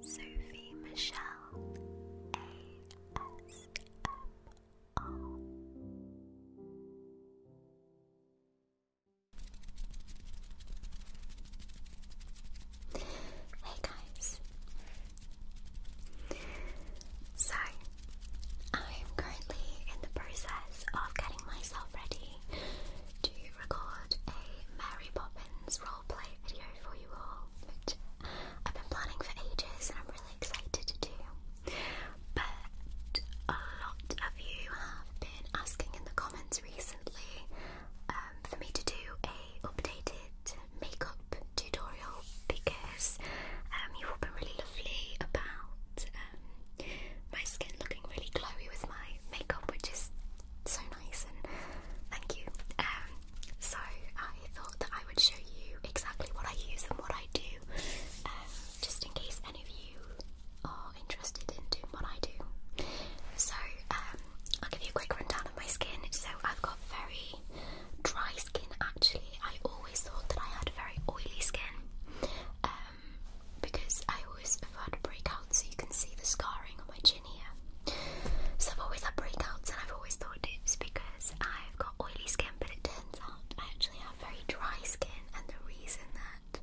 Sophie Michelle ASMR. Hey guys. So, I am currently in the process of getting myself ready to record a Mary Poppins roleplay video for you all, which I've been planning for ages and I'm really excited to do. But a lot of you have been asking in the comments recently um, for me to do a updated makeup tutorial because um, you've all been really lovely about um, my skin looking really glowy with my makeup, which is so nice and thank you. Um, so I thought that I would show you exactly what I use and what I do, um, just in case any of you are interested in doing what I do. So um, I'll give you a quick rundown of my skin. So I've got very dry skin actually. I always thought that I had very oily skin. because I always have had breakouts, so you can see the scarring on my chin. So I've always had breakouts, and I've always thought it was because I've got oily skin, but it turns out I actually have very dry skin, and the reason that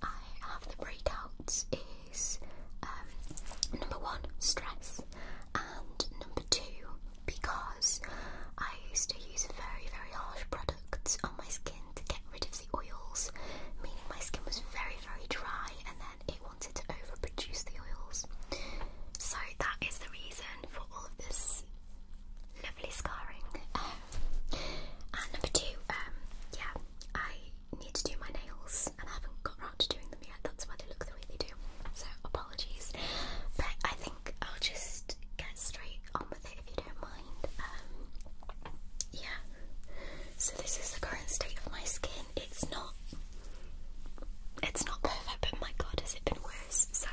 I have the breakouts is um, number one, stress, and number two, because I used to use very, very harsh products on my skin to get rid of the oils, meaning my skin was very, very dry, and then it wanted to overproduce the oils. So that is the reason for all of this lovely scarring. Um, and number two, um, yeah, I need to do my nails and I haven't got around to doing them yet. That's why they look the way they do. So apologies, but I think I'll just get straight on with it if you don't mind. Um, yeah. So this is the current state of my skin it's not it's not perfect, but my god, has it been worse? So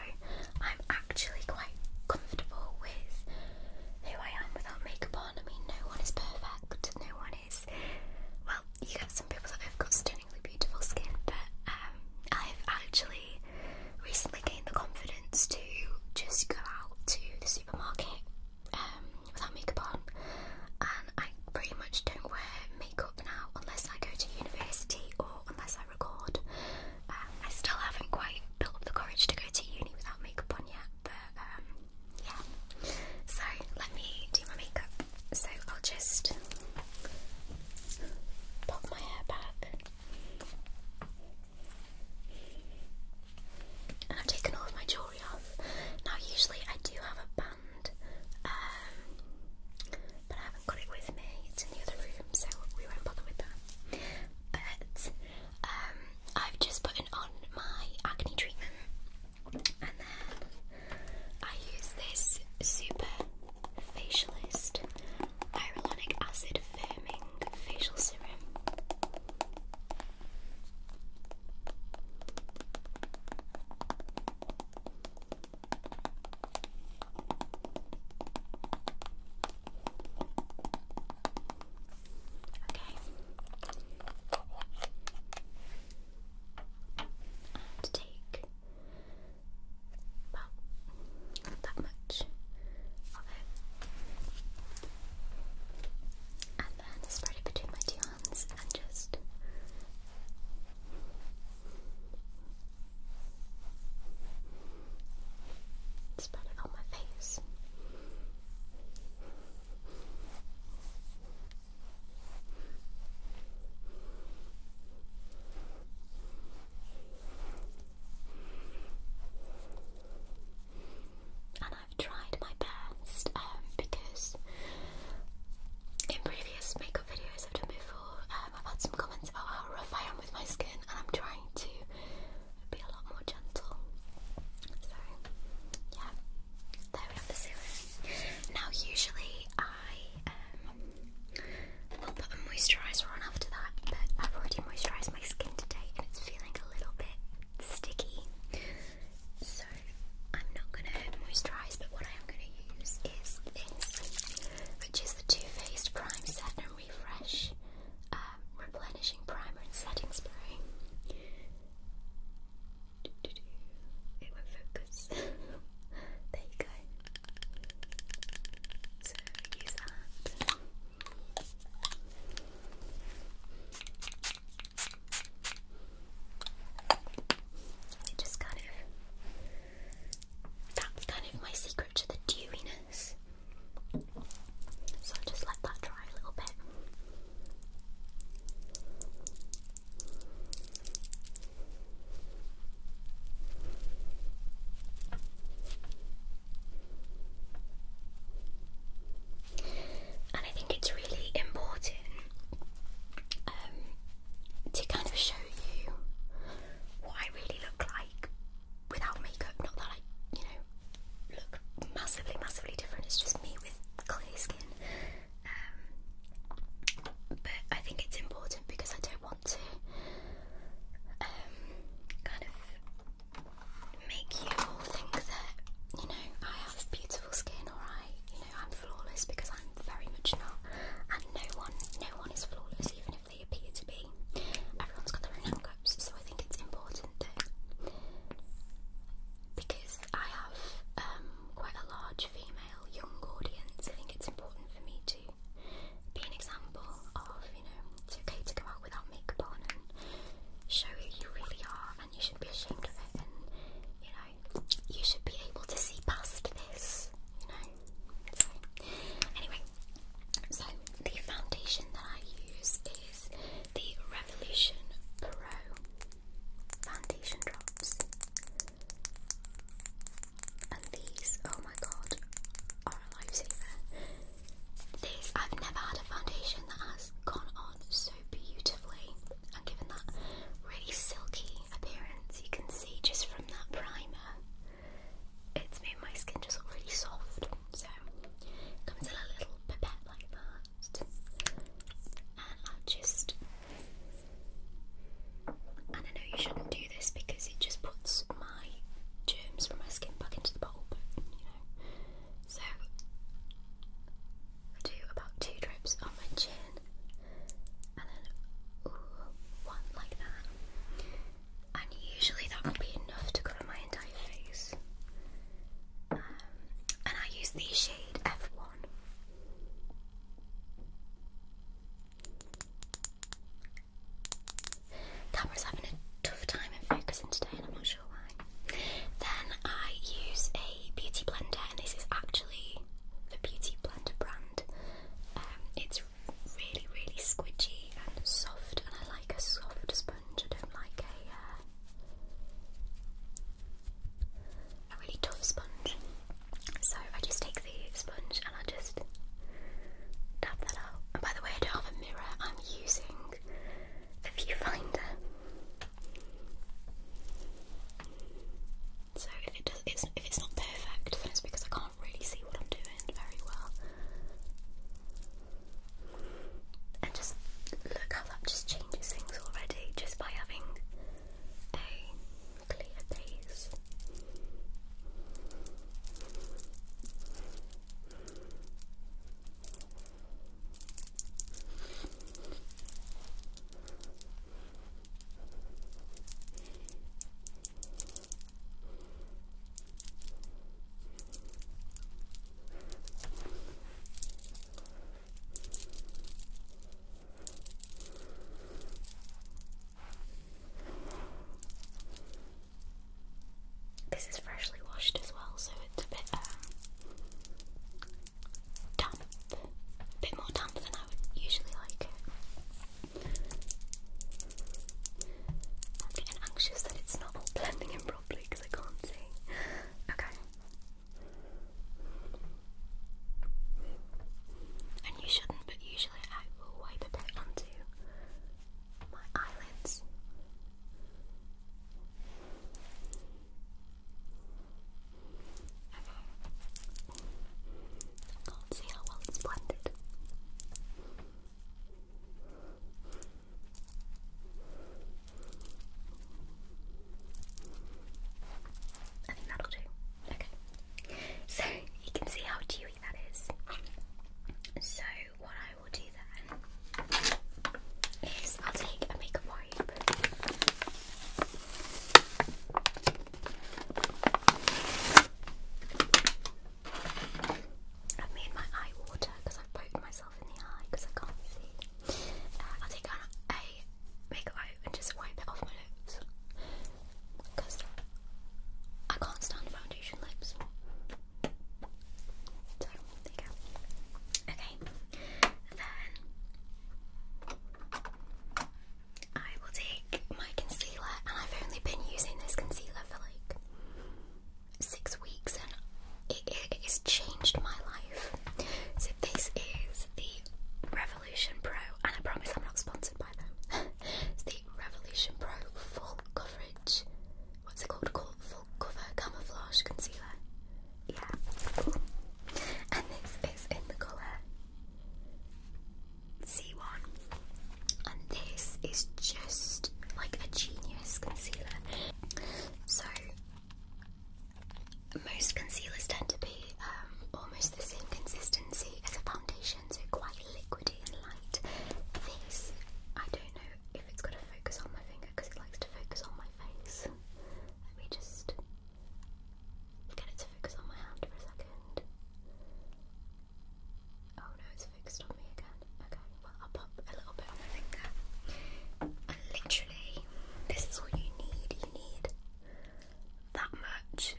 I'm actually quite comfortable with who I am without makeup on. I mean, no one is perfect. No one is. Well, you have some people that have got stunningly beautiful skin, but um, I've actually recently gained the confidence to just go out to the supermarket um, without makeup on, and I pretty much don't wear makeup now unless I go to university or unless I record. Um, I still haven't quite built up the courage to go to uni without makeup on yet, but um, yeah. So let me do my makeup. So I'll just pop my hair back. And I've taken all my jewellery now, usually I do have a band, um, but I haven't got it with me. It's in the other room, so we won't bother with that. But um, I've just put on my acne treatment, and then I use this super facialist hyaluronic acid firming facial serum and take about that much and then spread it between my two hands and just spread it on my face. I've tried my best um, because in previous makeup videos I've done before, um, I've had some comments about how rough I am with my skin, and I'm trying to be a lot more gentle. So, yeah, there we have the serum. Now, usually I um, will put a moisturiser on after that, but I've already moisturised my skin today, and it's feeling a little bit sticky. So I'm not gonna moisturise, but what I am gonna use is this, which is the Too Faced Prime Set and Refresh um, Replenishing Primer and Setting Spray. It won't focus. there you go. So use that just kind of that's kind of my secret to the dewiness. So i just let that dry a little bit. And I think it's really important um, to kind of show you what I really look like without makeup. Not that I, you know, look massively, massively different. It's just me with clear skin. Um, but I think it's important because I don't want to um, kind of make you all think that you know I have beautiful skin or I'm flawless because I'm very much not, and no one, no one is flawless, even if they appear to be. Everyone's got their own hiccups, so I think it's important that because I have um, quite a large female young audience, I think it's important for me to be an example of you know it's okay to come out without makeup on and show who you really are, and you shouldn't be ashamed of it, and you know you should be able to see past this, you know. anyway, so the foundation that I use is the Revolution Pro foundation drops. And these, oh my god, are a lifesaver. This, I've never had a foundation that has gone on so beautifully and given that really silky appearance you can see just from that primer. It's made my skin just really soft. So it comes in a little pipette like that. And I'll just and I know you shouldn't do this because it just puts my germs from my skin back into the bowl, but you know. So do about two drips on my chin and then one like that. And usually that will be enough to cover my entire face. Um, and I use the shade F1. Camera's having a tough time in focusing today, and I'm not sure why. Then I use a beauty blender, and this is actually the Beauty Blender brand. Um, it's really, really squidgy and soft, and I like a soft sponge. I don't like a uh, a really tough sponge. So I just take the sponge and I just dab that out. And by the way, I don't have a mirror. I'm using a viewfinder. So if it's not perfect, then it's because I can't really see what I'm doing very well. And just look how that just changes things already just by having a clear base. This is freshly washed as well, so it's a bit um, damp, a bit more damp than I would usually like I'm getting anxious that it's not blending properly because I can't see. Okay. And you shouldn't, but usually I will wipe a bit onto my eyelids. Go and see how well it's blended. I think that'll do. Okay. So you can see how dewy that is. So what I will do then is I'll take a makeup wipe i made my eye water because I've poked myself in the eye because I can't see. Uh, I'll take a makeup wipe and just wipe it off my lips because I can't stand foundation lips. there you go. Okay, I will take my concealer, and I've only been using this concealer for like six weeks, and it, has changed my life. So, this is the Revolution Pro, and I promise I'm not sponsored by them. it's the Revolution Pro Full Coverage, what's it called? Called Full Cover Camouflage Concealer. Yeah. And this is in the colour C1. And this is just like a genius concealer. So, most concealers tend to be um, almost the same consistency as a foundation, so quite liquidy and light. This, I don't know if it's going to focus on my finger because it likes to focus on my face. Let me just Let's get it to focus on my hand for a second. Oh no, it's fixed on me again. Okay, well, I'll pop a little bit on my finger. And literally, this is all you need. You need that much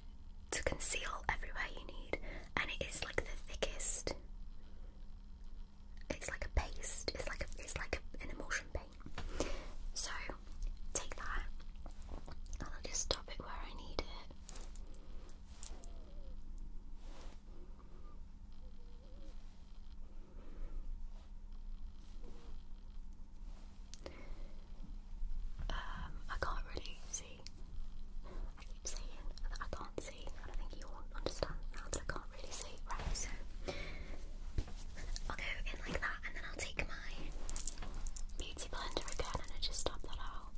to conceal everywhere you need, and it is like the thickest. It's like a paste. It's like it's like an emulsion paste. So take that and I'll just stop it where I need it. Um, I can't really see. I keep saying that I can't see, and I think you all understand I can't really see. Right, so I'll go in like that and then I'll take my beauty blender again and I just dab that out.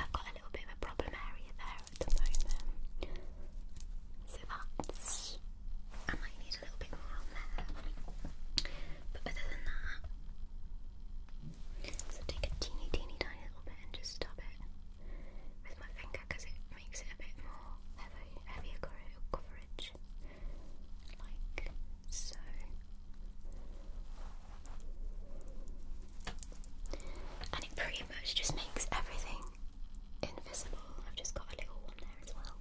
I've got a little bit of a problem area there at the moment, so I might need a little bit more on there. But other than that, so take a teeny, teeny, tiny little bit and just stop it with my finger because it makes it a bit more heavy, heavier coverage, like so. And it pretty much just makes everything invisible. I've just got a little one there as well.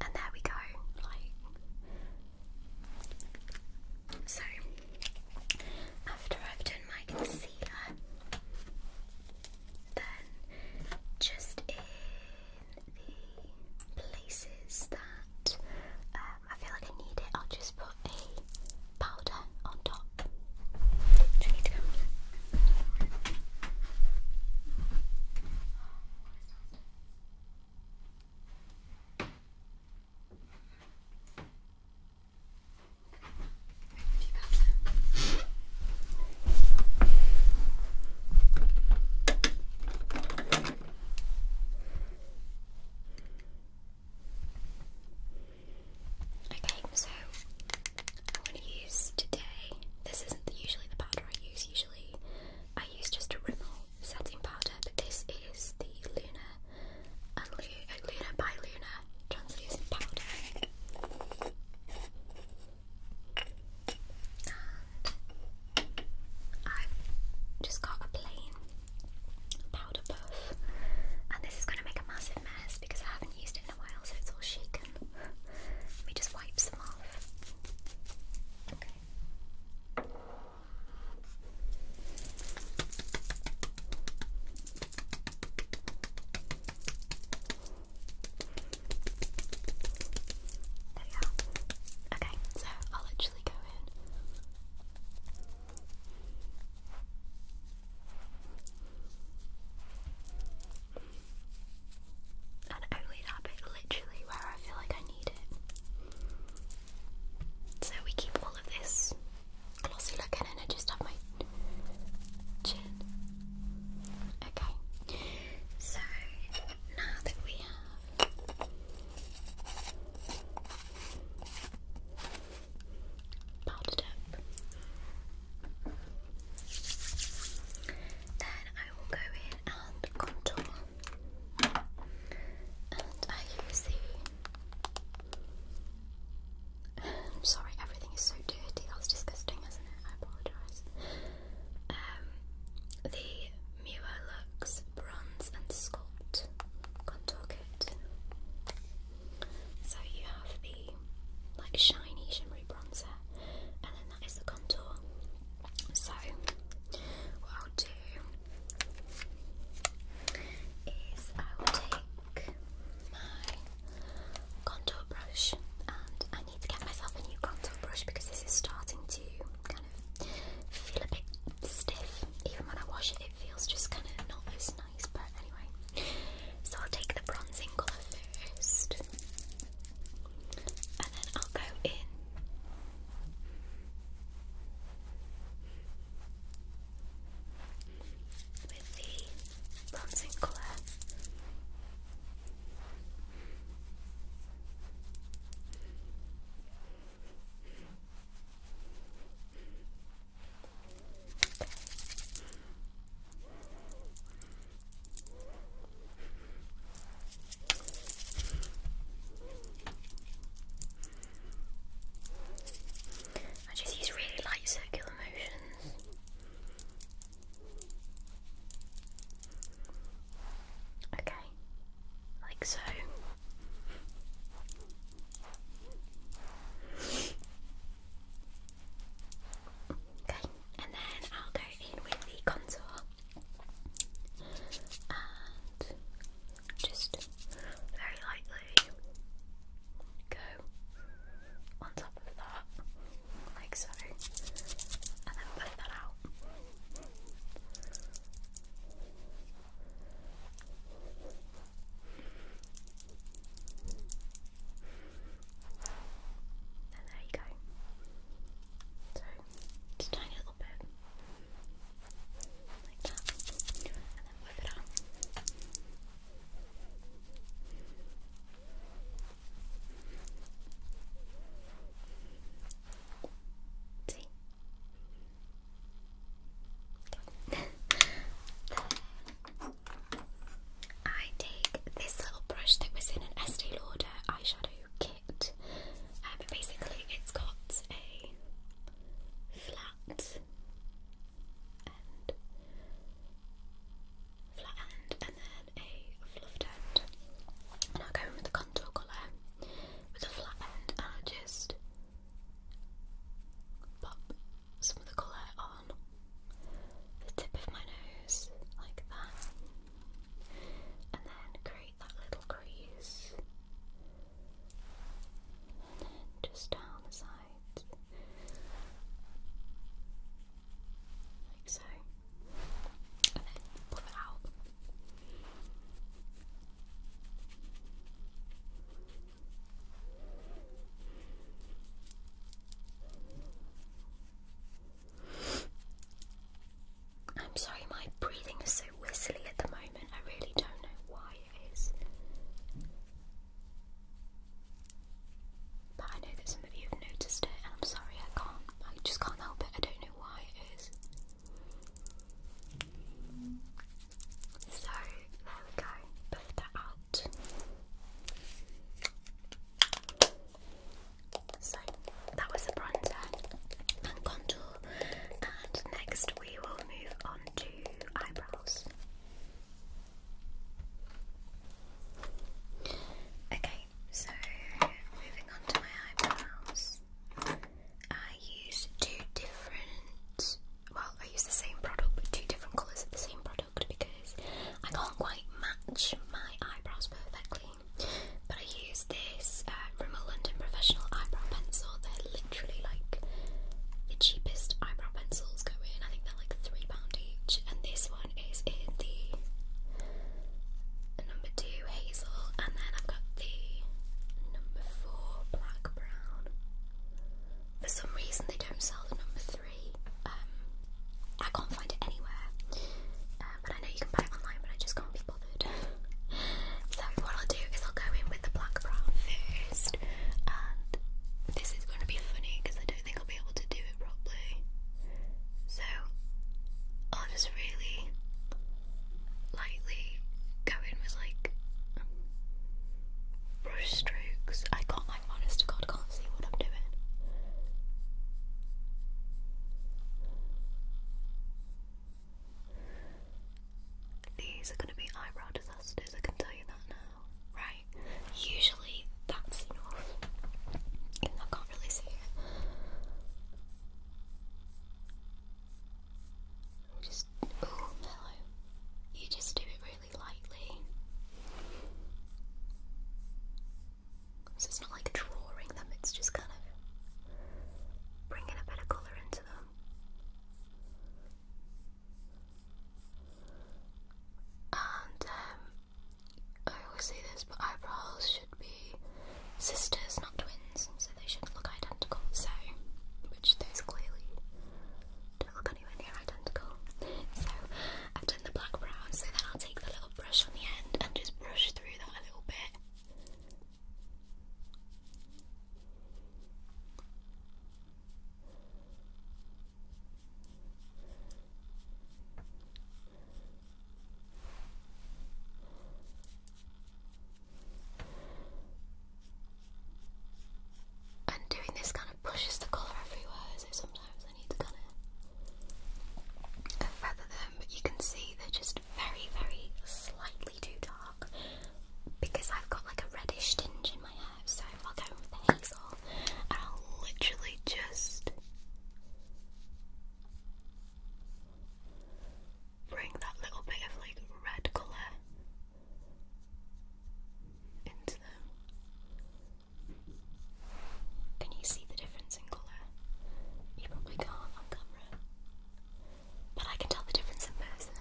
And there we go, so. After I've done my concealer, then just in the places that um, I feel like I need it, I'll just put a powder on top. Do you need to come? Okay, so I want to use today. This isn't usually the powder I use. I use just a Rimmel setting powder, but this is the Luna and Lu uh, Luna by Luna translucent powder. And I've just got a plain powder puff, and this is going to make a massive mess because I haven't used it in a while, so it's all shaken let me just wipe some off. Okay. There you are. Okay, so I'll actually go in. And only that bit literally where I feel like I need it. So we keep all of this glossy looking and I just have my chin. Okay. So now that we have powdered up then I will go in and contour, and I use the. am um, sorry, everything is so dirty. That's disgusting, isn't it? I apologise. Um, the Mua Lux Bronze and Sculpt Contour Kit. So you have the like shiny shimmery bronzer, and then that is the contour. So, what I'll do is I will take my contour brush, and I need to get myself a new contour brush because this is starting to kind of feel a bit stiff. Even when I wash it, it feels just kind of not as nice, but anyway. So, I'll take the bronzing colour first and then I'll go in. With the bronzing colour, I just use really light circular motions. Okay, like so. Okay, and then I'll go in with the contour and just very lightly go on top of that, like so, and then push that out. And there you go. So, just a tiny little bit. Like that. And then whip it out. See? Okay. I take this little brush that was in an Estee Lauder eyeshadow kit it. Um, basically, it's got a flat end, flat end, and then a fluffed end. I'll go in with a contour colour with a flat end, and i just pop some of the colour on the tip of my nose like that and then create that little crease, and then just down the sides, like so, and then pull it out. I'm sorry, my breathing is so whistly at the moment. I really don't know why it is. But I know that some of you have noticed it, and I'm sorry, I can't. I just can't help it. I don't know why it is. So, there we go. Buff that out. So that was the bronzer and contour, and next we will move on to eyebrows. Okay, so moving on to my eyebrows, I use two different, well, I use the same product but two different colours of the same product because I can't quite match my eyebrows perfectly. But I use this uh, Rimmel London Professional Eyebrow Pencil. They're literally like the cheapest eyebrow pencils go in. I think they're like £3 each. And this one is in the number two hazel, and then I've got the number four black brown. For some reason, they don't sell the number three. Um, I can't find it anywhere. Uh, um, I know you can buy it online, but I just can't be bothered. so what I'll do is I'll go in with the black brown first, this is going to be funny because I don't think I'll be able to do it properly. So I'll just really lightly go in with like brush strokes. I can't, like, honest to God, can't see what I'm doing. These are going to be eyebrow disasters, I can tell you that now. Right, usually that's enough. Even I can't really see it. Just, oh hello. You just do it really lightly. So it's not like drawing them, it's just kind of bringing a bit of colour into them. And um, I always say this, but eyebrows should be sisters, not twins, so they should look identical. So, which those clearly don't look anywhere near identical. So, I've done the black brown, so then I'll take the little brush on the end and just brush through that a little bit and doing this kind of pushes the colour everywhere, so sometimes I need to kind of feather them, you can see they're just very, very slightly too dark because I've got like a reddish tinge in my hair. So I'll go with the hazel and I'll literally just bring that little bit of like red colour into them. Can you see the difference? difference You probably can't on camera. But I can tell the difference in person.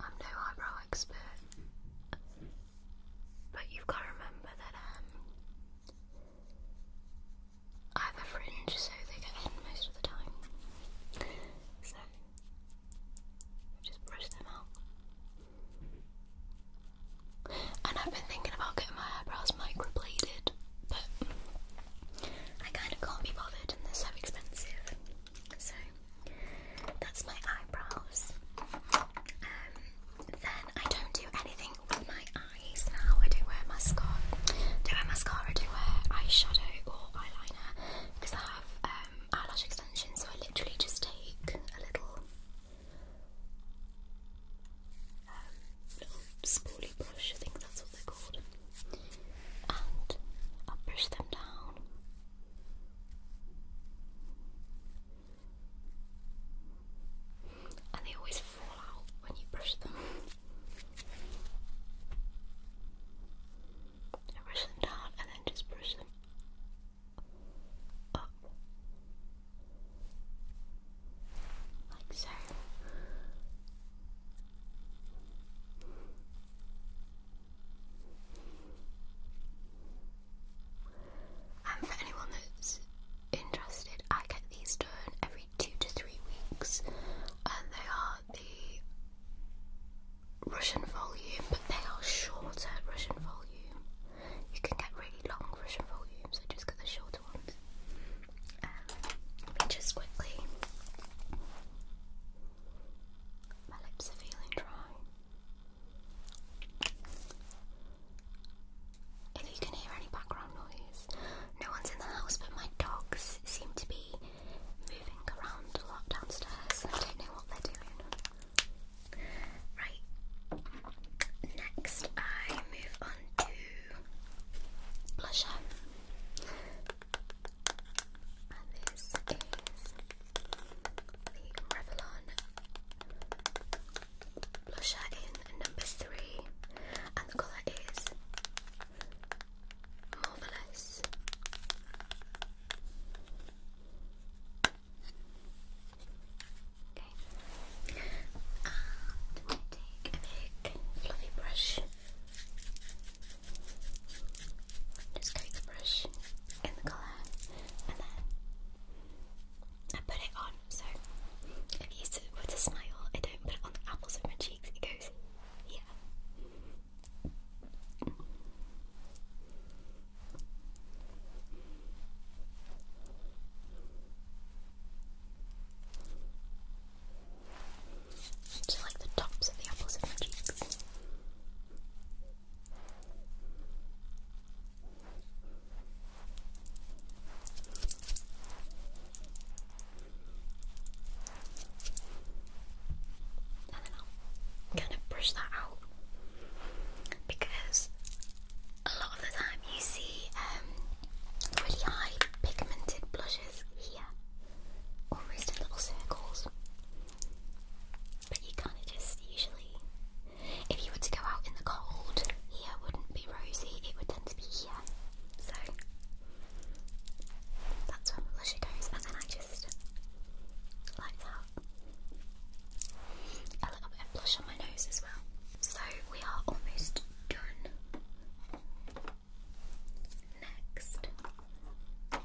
I'm no eyebrow expert. But you've got to remember that um, I have a fringe so they get hidden most of the time. So, just brush them out. And I've been thinking about getting my eyebrows microbladed, but I kind of can't be bothered and they're so expensive. So that's my eyebrows. Um, then I don't do anything with my eyes now. I don't wear mascara. Don't wear mascara. I don't wear eyeshadow or eyeliner because I have um, eyelash extensions. So I literally just take a little little um, spoolie brush, I think that's what they're called. And I'll them down. And they always fall out when you brush them. brush them down and then just brush them up like so. And for anyone that's interested, I get these done every two to three weeks, and they are the Russian volume, but they are shorter Russian volume. You can get really long Russian volumes, I just get the shorter um, just quickly. My lips are feeling dry. If you can hear any background noise, no one's in the house, but my dogs seem to be moving around a lot downstairs. I don't know what they're doing. Right, Next, I move on to blusher, and this is the Revlon blusher in number three, and the colour is marvelous. I And take a big fluffy brush. Just coat the brush in the colour and then I put it on. So I've used it a smile. I don't put it on the apples of my cheeks, it goes here. Just like the tops of the opposite of cheeks. I'll kind of brush that out because a lot of the time you see um, really high pigmented blushes here, almost in little circles. But you kind of just usually, if you were to go out in the cold, here wouldn't be rosy, it would tend to be here. So that's where my goes, and then I just like that. A little bit of blush on my nose as well. So we are almost Done. Next, I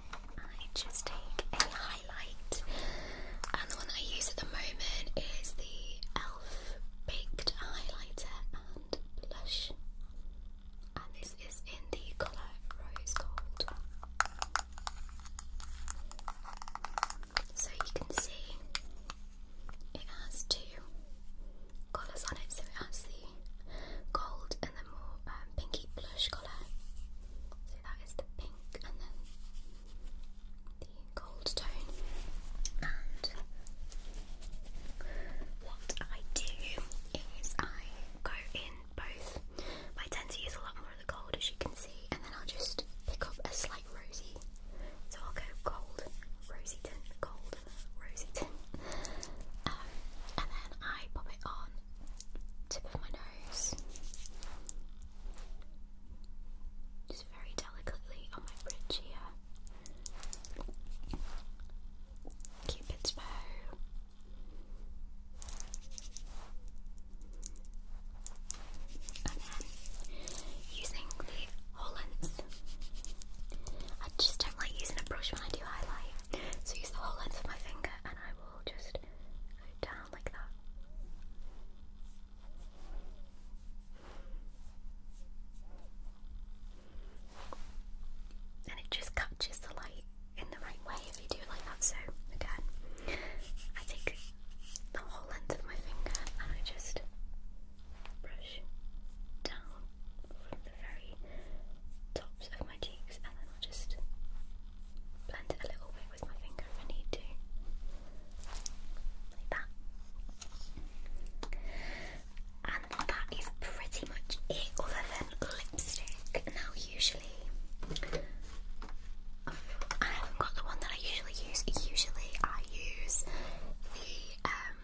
just take a highlight, and the one I use at the moment is the e.l.f. Baked Highlighter and Blush, and this is in the colour Rose Gold. So you can see it has two colours on it, so it has the gold and the more um, pinky blush colour. So that is the pink and then the gold tone. And what I do is I go in both. I tend to use a lot more of the gold, as you can see, and then I'll just pick off a slight rosy. So I'll go gold, rosy tint, gold, rosy tint. Um, and then I pop it on tip of my nose. Just very delicately on my bridge here. Cupid's bow using the Hollands. I just don't like using a brush when I do highlight, so use the whole length of my finger and I will just go down like that. And it just catches the light in the right way if you do like that. So, again, I take the whole length of my finger and I just brush down from the very tops of my cheeks and then I'll just blend it a little bit with my finger if I need to. Like that. And that is pretty much it other than lipstick. Now usually I haven't got the one that I usually use. Usually I use the um,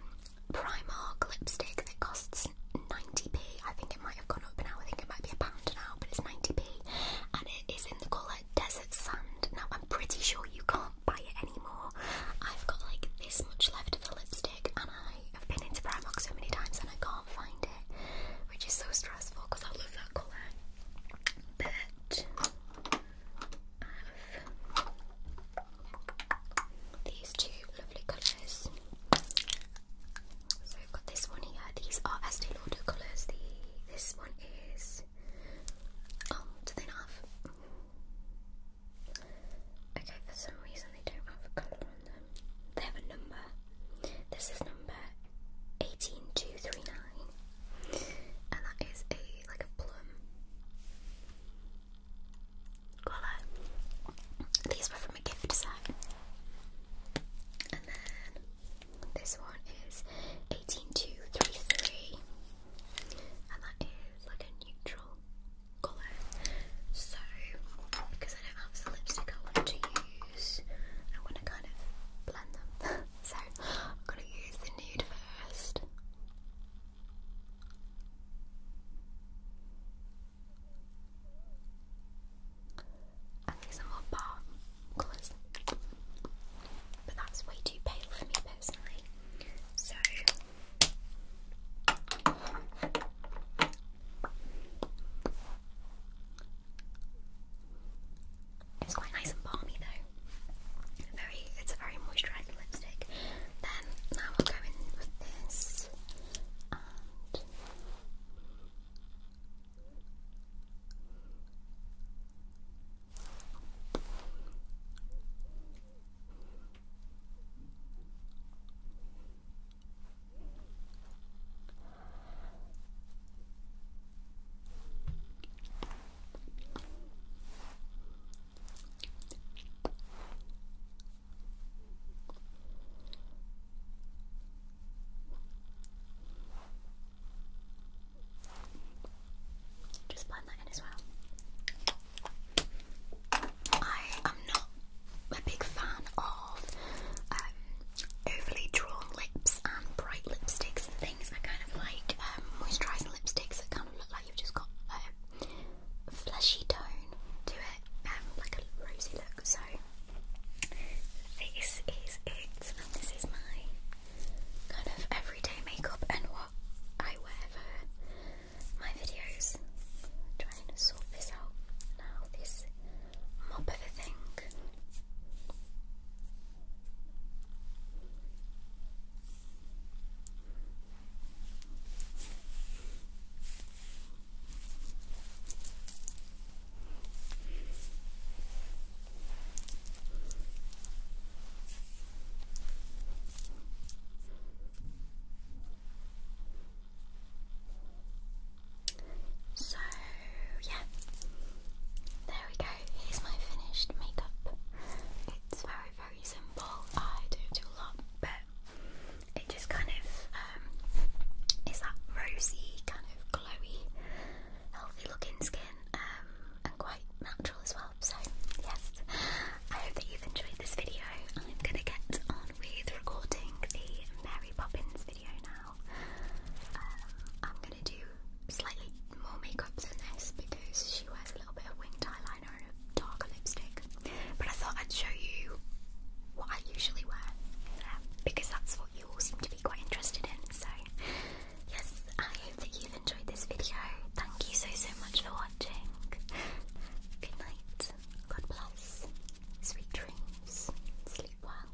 Primark lipstick that costs 90p. I think it might have gone up now. I think it might be a pound now, but it's 90p. And it is in the colour Desert Sand. Now, I'm pretty sure you can't buy it anymore. I've got like this much left of the lipstick, and I have been into Primark so many times and I can't find it, which is so stressful because I love that colour. But these two lovely colours. So I've got this one here. These are Estee Lauder colours. The this one is oh, do they have? Okay, for some reason they don't have a colour on them. They have a number. This is number eighteen two three nine, and that is a like a plum colour. These were from a gift set. And then this one is 18233. And that is like a neutral colour. So, because I don't have the lipstick I want to use, I'm to kind of blend them. so, I'm going to use the nude first. I need some more bar but that's way too pale for me personally. So it's quite nice and balmy though very it's a very moisturising lipstick. Then now I'll go in with this just blend that in as well. I am not a big fan of um, overly drawn lips and bright lipsticks and things. I kind of like um, moisturising lipsticks that look like you've just got like a fleshy tone to it, um, like a rosy look. So this is it. this is my kind of everyday makeup and what I wear for my videos. trying to sort this out now. This mop of a thing. So, yeah, there we go. Here's my finished makeup. It's very, very simple. I don't do a lot, but it just kind of um, is that rosy, kind of glowy, healthy looking skin, um, and quite natural as well. So, yes, I hope that you've enjoyed this video. I'm gonna get on with recording the Mary Poppins video now. Um, I'm gonna do slightly more makeup than this because she wears a little bit of winged eyeliner eyeliner darker lipstick. But I thought I'd show you what I usually wear um, because that's what you all seem to be quite interested in. So, yes, I hope that you've enjoyed this video. Thank you so, so much for watching. Good night, God bless, sweet dreams, sleep well.